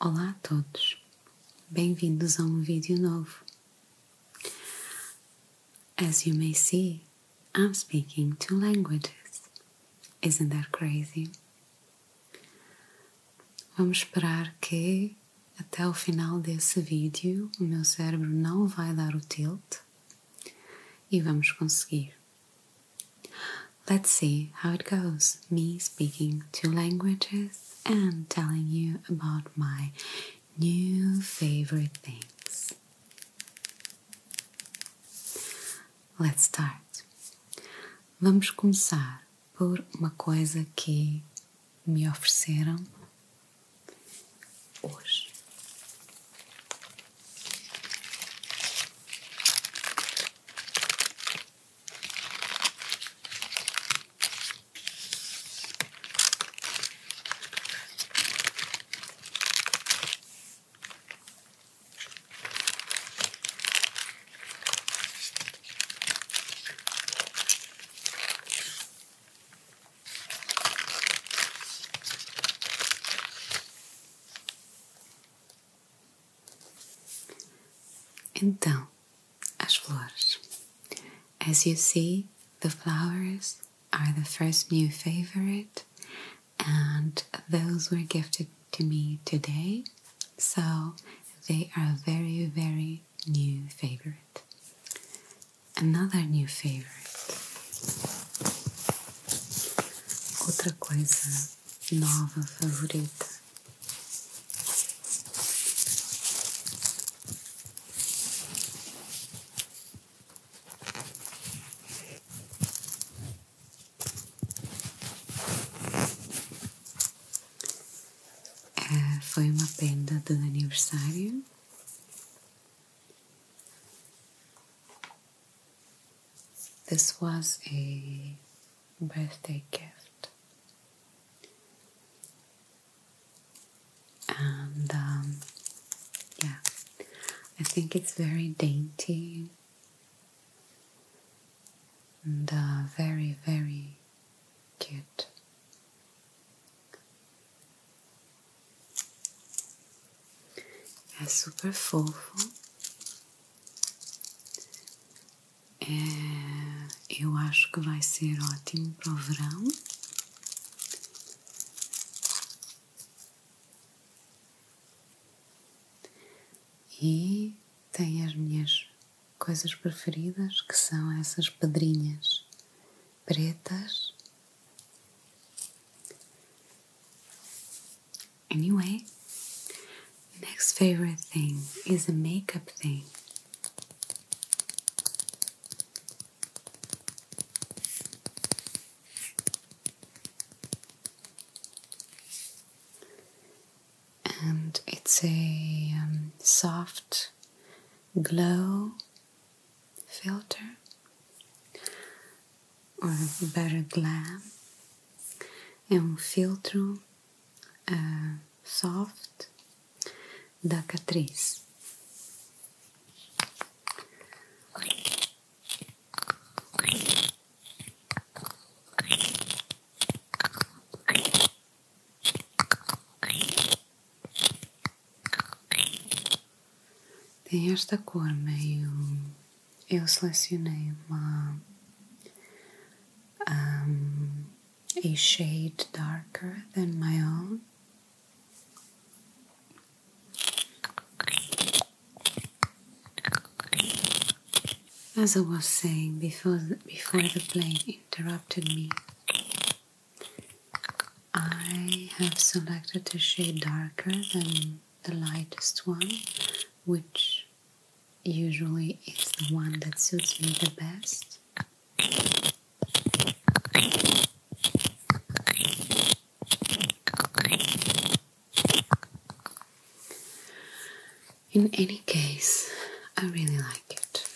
Olá a todos, bem-vindos a um vídeo novo. Como vocês podem ver, estou falando duas línguas. Não é crazy? Vamos esperar que até o final desse vídeo o meu cérebro não vai dar o tilt e vamos conseguir. Let's see how it goes. Me speaking two languages and telling you about my new favorite things. Let's start. Vamos começar por uma coisa que me ofereceram hoje. Então, as flowers. As you see, the flowers are the first new favorite, and those were gifted to me today, so they are very, very new favorite. Another new favorite. Outra coisa nova favorita. É, This was a birthday gift. And um, yeah, I think it's very dainty and uh, very, very Good. É super fofo. É, eu acho que vai ser ótimo para o verão. E tem as minhas coisas preferidas que são essas pedrinhas pretas. Anyway, next favorite thing is a makeup thing. And it's a soft glow filter or better glam é um filtro ah, soft da Catriz. Tem esta cor meio. Eu selecionei uma. Um, a shade darker than my own. As I was saying before, before the plane interrupted me, I have selected a shade darker than the lightest one, which usually is the one that suits me the best. In any case, I really like it.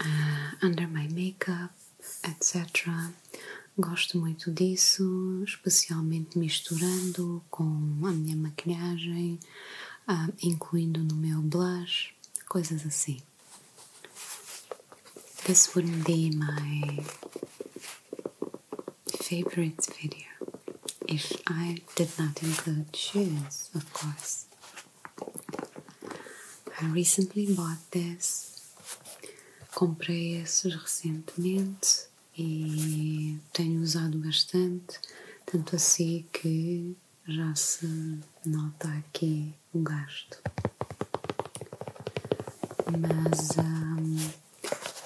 Ah, under my makeup, etc. Gosto muito disso, especialmente misturando com a minha maquilhagem, ah, incluindo no meu blush, coisas assim. This would be my favorite video if I did not include shoes, of course. I recently bought this. Comprei esses recentemente e tenho usado bastante, tanto assim que já se nota aqui o gasto. Mas hum,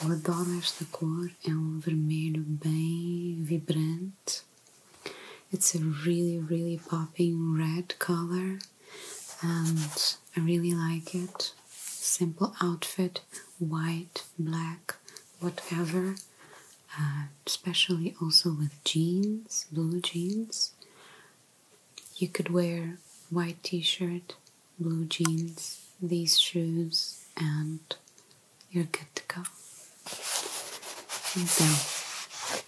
eu adoro esta cor, é um vermelho bem vibrante It's a really, really popping red color, and I really like it. Simple outfit, white, black, whatever. Uh, especially also with jeans, blue jeans. You could wear white t-shirt, blue jeans, these shoes, and you're good to go. So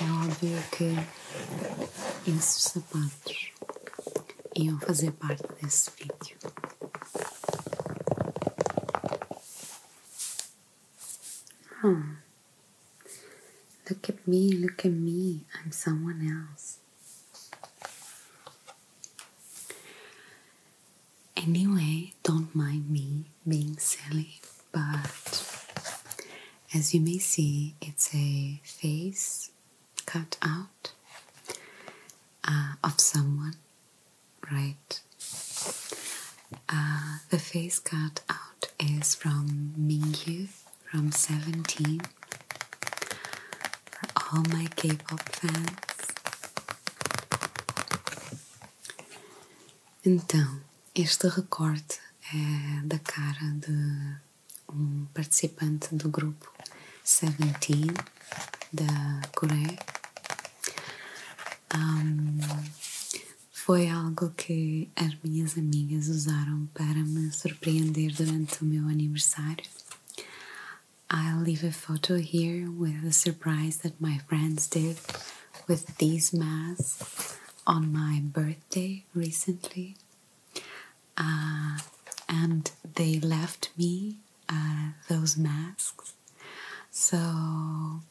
É óbvio que esses sapatos iam fazer parte desse vídeo. Oh, look at me, look at me, I'm someone else. Anyway, don't mind me being silly, but As you may see, it's a face cut out uh, of someone, right? Uh, the face cut out is from Mingyu from 17. For all my K pop fans. Então, este recorte é da cara de um participante do grupo Seventeen da Coreia. foi algo que as minhas amigas usaram para me surpreender durante o meu aniversário. I'll leave a photo here with the surprise that my friends did with these masks on my birthday recently, e uh, and they me uh, those masks. então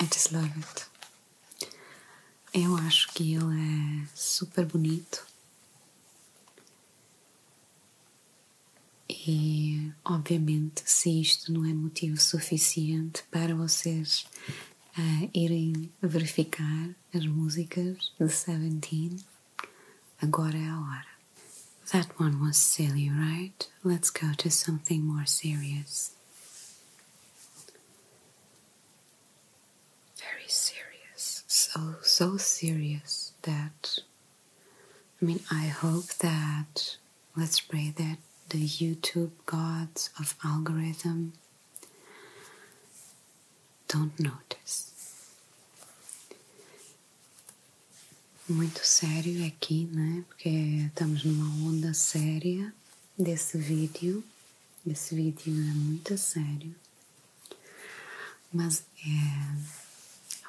eu just love it. Eu acho que ele é super bonito e, obviamente, se isto não é motivo suficiente para vocês a irem verificar as músicas de Seventeen. Agora é a hora. That one was silly, right? Let's go to something more serious. Very serious. So, so serious that. I mean, I hope that. Let's pray that the YouTube gods of algorithm Don't notice. Muito sério aqui, né? Porque estamos numa onda séria desse vídeo. Esse vídeo é muito sério. Mas é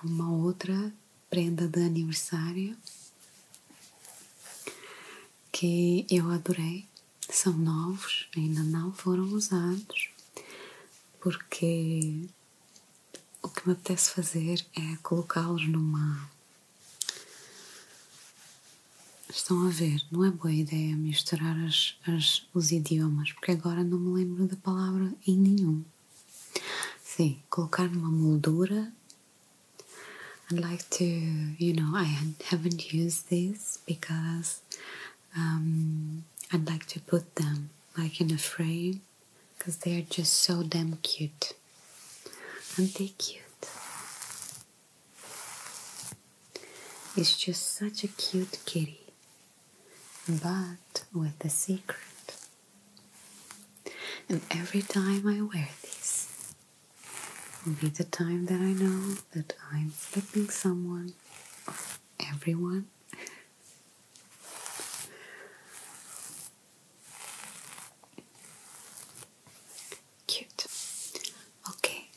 uma outra prenda de aniversário que eu adorei são novos, ainda não foram usados, porque o que me apetece fazer é colocá-los numa. Estão a ver, não é boa ideia misturar as, as, os idiomas, porque agora não me lembro da palavra em nenhum. Sim, colocar numa moldura I'd like to, you know, I haven't used these because um, I'd like to put them like in a frame because they are just so damn cute. Aren't they cute? It's just such a cute kitty, but with a secret. And every time I wear these, will be the time that I know that I'm flipping someone everyone. Cute. Okay,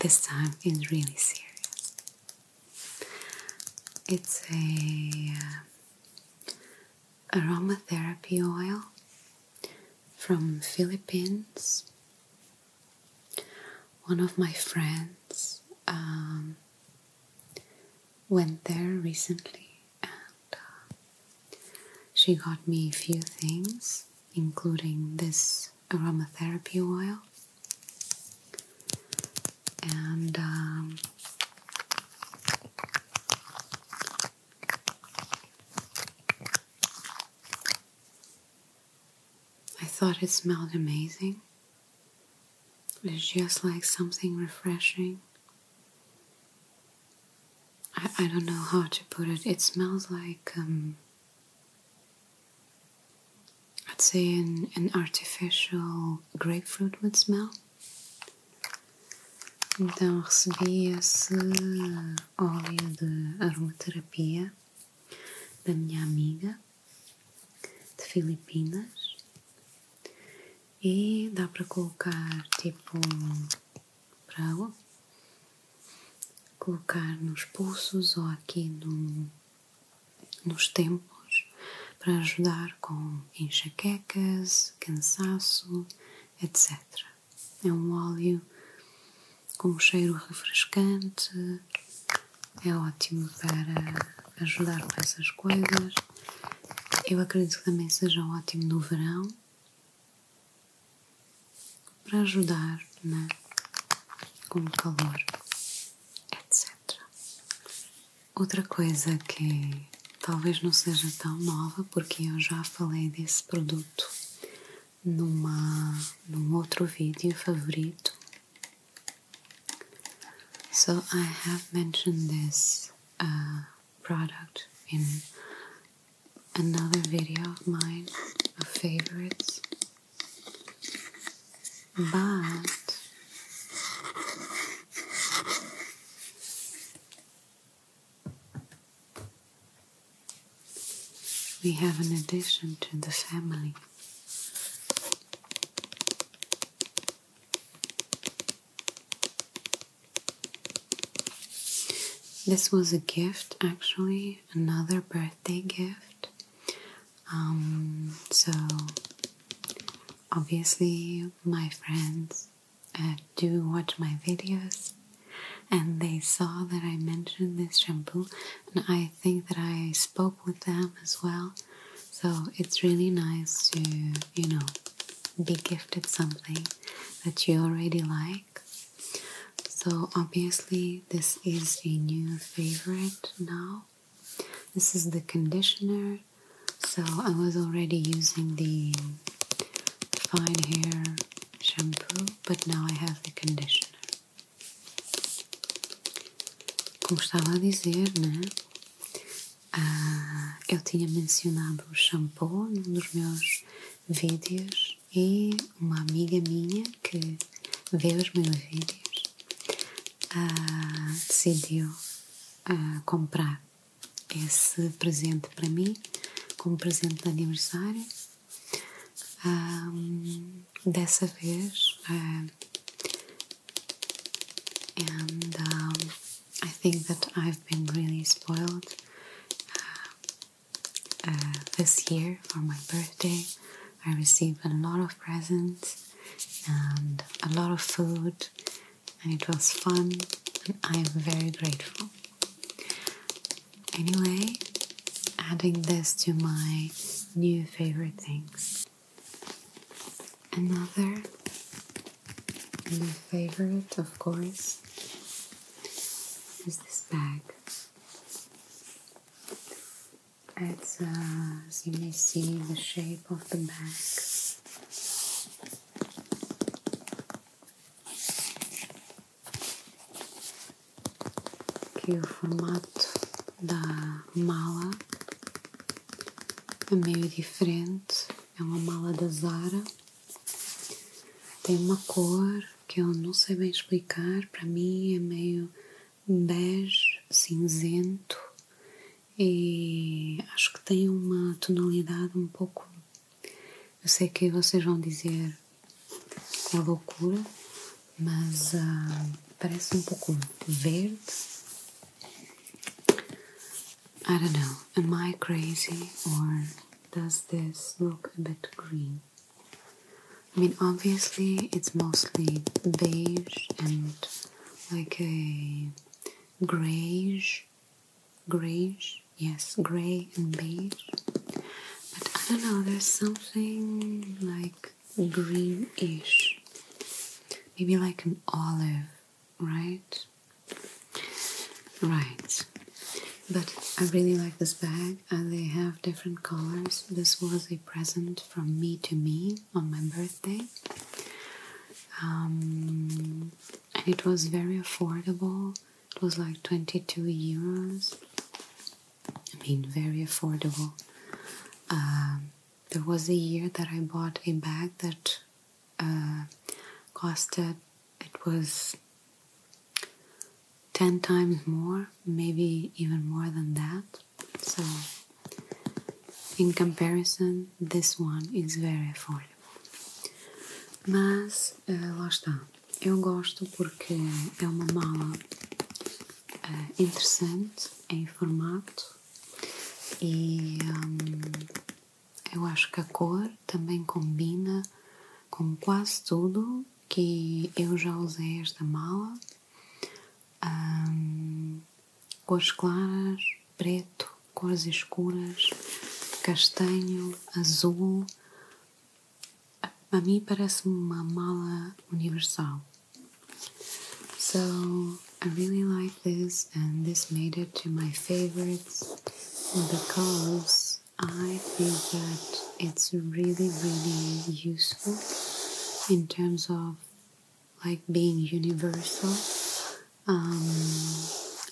this time is really serious. It's a uh, aromatherapy oil from Philippines. One of my friends um, went there recently and uh, she got me a few things, including this aromatherapy oil. And um, I thought it smelled amazing. It's just like something refreshing. I, I don't know how to put it. It smells like, um, I'd say, an, an artificial grapefruit would smell. Então recebi esse óleo de aromaterapia da minha amiga de Filipinas e dá para colocar tipo para colocar nos pulsos ou aqui nos tempos para ajudar com enxaquecas, cansaço, etc. É um óleo com um cheiro refrescante, é ótimo para ajudar com essas coisas. Eu acredito que também seja ótimo no verão para ajudar né, com o calor, etc. Outra coisa que talvez não seja tão nova, porque eu já falei desse produto So I have mentioned this uh, product in another video of mine, of favorites, but we have an addition to the family. This was a gift, actually, another birthday gift. Um, so, obviously, my friends uh, do watch my videos, and they saw that I mentioned this shampoo, and I think that I spoke with them as well. So it's really nice to, you know, be gifted something that you already like. So obviously, this is a new favorite now. This is the conditioner. So I was already using the fine hair shampoo, but now I have the conditioner. Como estava a dizer, né? ah, eu tinha mencionado o shampoo num dos meus vídeos e uma amiga minha que vê os meus vídeos ah, decidiu ah, comprar esse presente para mim como presente de aniversário Eh, and um, I think that I've been really spoiled uh, this year for my birthday. I received a lot of presents and a lot of food, and it was fun, and I am very grateful. Anyway, adding this to my new favorite things. Another new favorite, of course, is this bag. It's, uh, as you may see, the shape of the bag. que o formato da mala é meio diferente. É uma mala da Zara, tem uma cor que eu não sei bem explicar. Para mim é meio bege, cinzento e acho que tem uma tonalidade um pouco. Eu sei que vocês vão dizer com a loucura, mas ah, parece um pouco verde. I don't know, am I crazy or does this look a bit green? I mean, obviously, it's mostly beige and like a grayish, grayish, yes, gray and beige. But I don't know, there's something like greenish, maybe like an olive, right? Right. But I really like this bag, and they have different colors. This was a present from me to me on my birthday. Um, it was very affordable. It was like 22 euros. I mean, very affordable. Um, there was a year that I bought a bag that uh, costed, it was 10 times more, maybe even more than that. So, in comparison, this one is very affordable. Mas, uh, Eu gosto porque é uma mala Ah, interessante em formato e hum, eu acho que a cor também combina com quase tudo que eu já usei esta mala hum, cores claras, preto, cores escuras, castanho, azul a mim parece uma universal. So I really like this, and this made it to my favorites because I think that it's really, really useful in terms of like being universal. Um,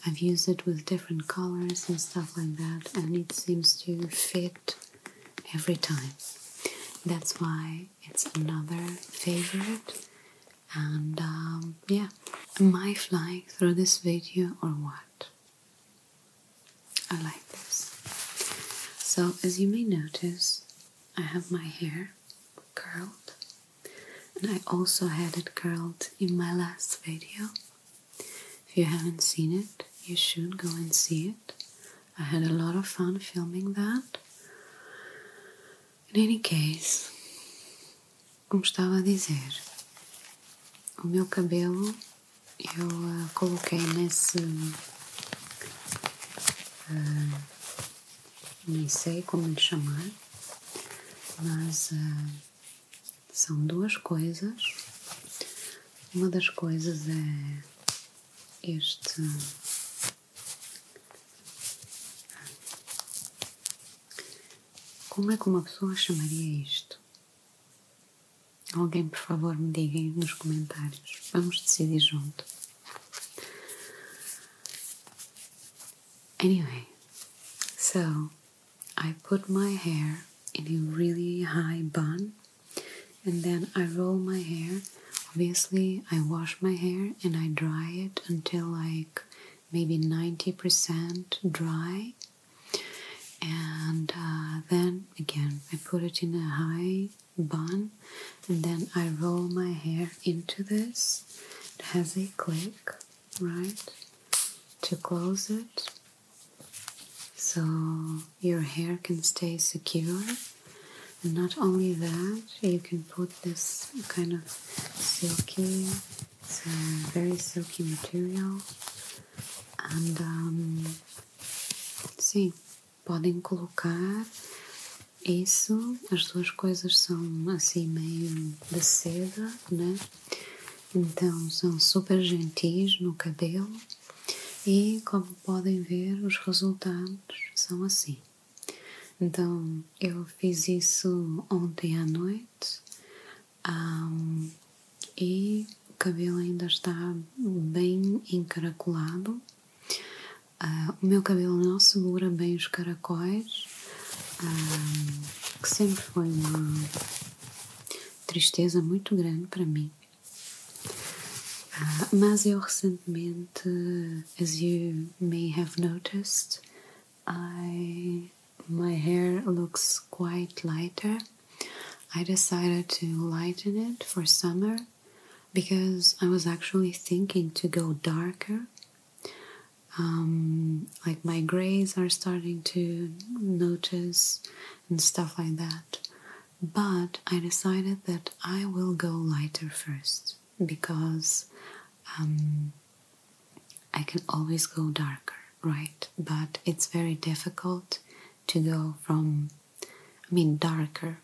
I've used it with different colors and stuff like that, and it seems to fit every time. That's why it's another favorite. And um, yeah, am I flying through this video or what? I like this. So, as you may notice, I have my hair curled, and I also had it curled in my last video. If you haven't seen it, you should go and see it. I had a lot of fun filming that. In any case, como estava a dizer, o meu cabelo eu uh, coloquei nesse. Uh, nem sei como lhe chamar, mas eh, são duas coisas. Uma das coisas é este como é que uma pessoa chamaria isto? Alguém, por favor, me diga nos comentários. Vamos decidir junto. Anyway, so I put my hair in a really high bun and then I roll my hair. Obviously, I wash my hair and I dry it until like maybe 90% dry, and uh, then again I put it in a high bun, and then I roll my hair into this. It has a click, right, to close it. So your hair can stay secure. And not only that, you can put this kind of silky, it's a material. And um, sim, podem colocar isso, as duas coisas são assim meio de seda, né? Então são super gentis no cabelo e como podem ver, os resultados são assim. Então eu fiz isso ontem à noite e o cabelo ainda está bem encaracolado. Ah, o meu cabelo não segura bem os caracóis, uh, que sempre foi uma tristeza muito grande para mim. Uh, Masioch mint, as you may have noticed, I my hair looks quite lighter. I decided to lighten it for summer because I was actually thinking to go darker. Um, like my grays are starting to notice and stuff like that but I decided that I will go lighter first because um, I can always go darker, right? But it's very difficult to go from, I mean, darker,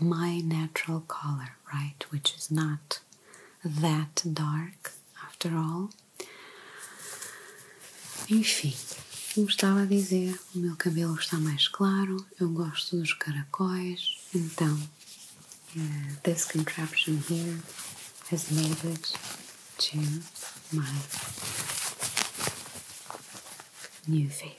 my natural color, right? Which is not that dark after all. Enfim, como estava a dizer, o meu cabelo está mais claro, eu gosto dos caracóis, então eh, this contraption here has made it to my new favorites.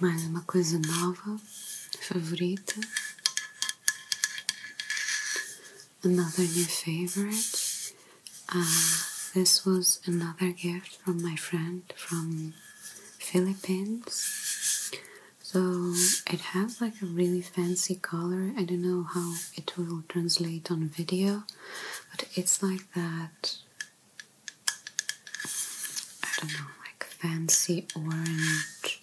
Mais uma coisa nova, favorita. Another new favorite. Ah, this was another gift from my friend from Philippines. So it has like a really fancy color. I don't know how it will translate on video, but it's like that I don't know, like fancy orange,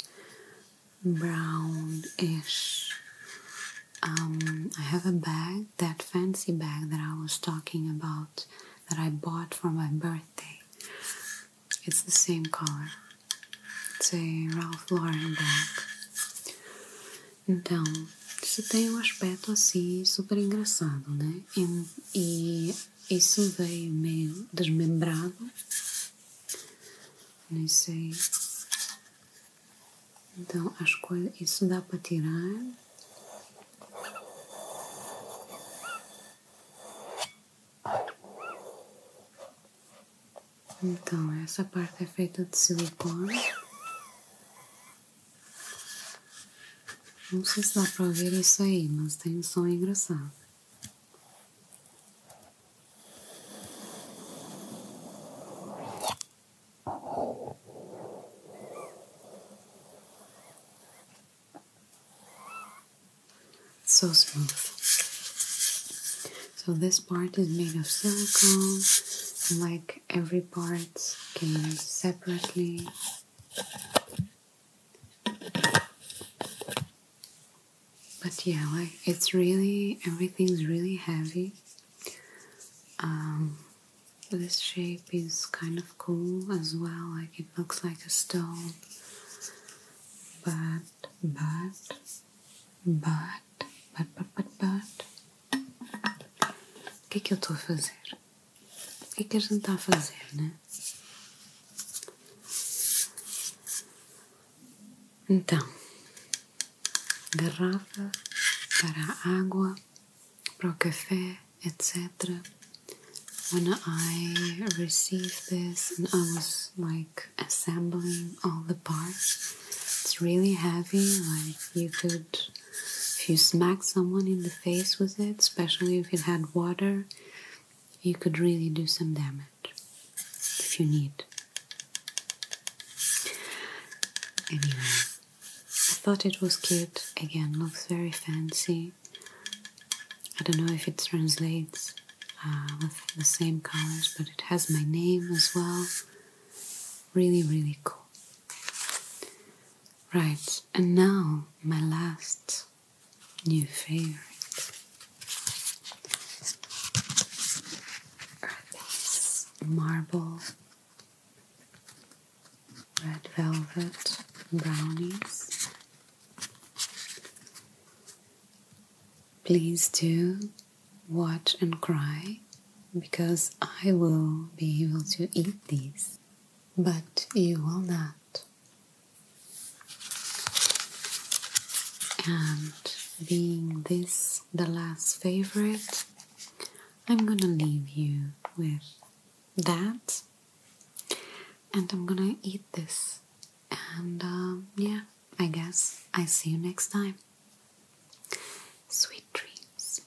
brownish. Um, I have a bag, that fancy bag that I was talking about, that I bought for my birthday. It's the same color. It's a Ralph Lauren bag. Então, isso tem um aspecto assim super engraçado, né? e Isso veio meio desmembrado. Nem sei. Então acho que Isso dá para tirar. Então essa parte é feita de silicone. Não sei se dá para ouvir isso aí, mas tem um som engraçado. So smooth. So this part is made of silicone, like every part came separately. But yeah, like it's really everything's really heavy. Um, this shape is kind of cool as well. Like it looks like a stone, but but but but but but but. O que é que eu estou a fazer? O que é que a gente está a fazer, né? para água, para etc. When I received this and I was like assembling all the parts, it's really heavy, like you could if you smack someone in the face with it, especially if it had water, you could really do some damage if you need. Anyway, I thought it was cute. Again, looks very fancy. I don't know if it translates uh, with the same colors, but it has my name as well. Really, really cool. Right, and now my last new favorite are these marble red velvet brownies. Please do watch and cry because I will be able to eat these, but you will not. And being this the last favorite, I'm gonna leave you with that. And I'm gonna eat this. And um, yeah, I guess I see you next time. Sweet dreams.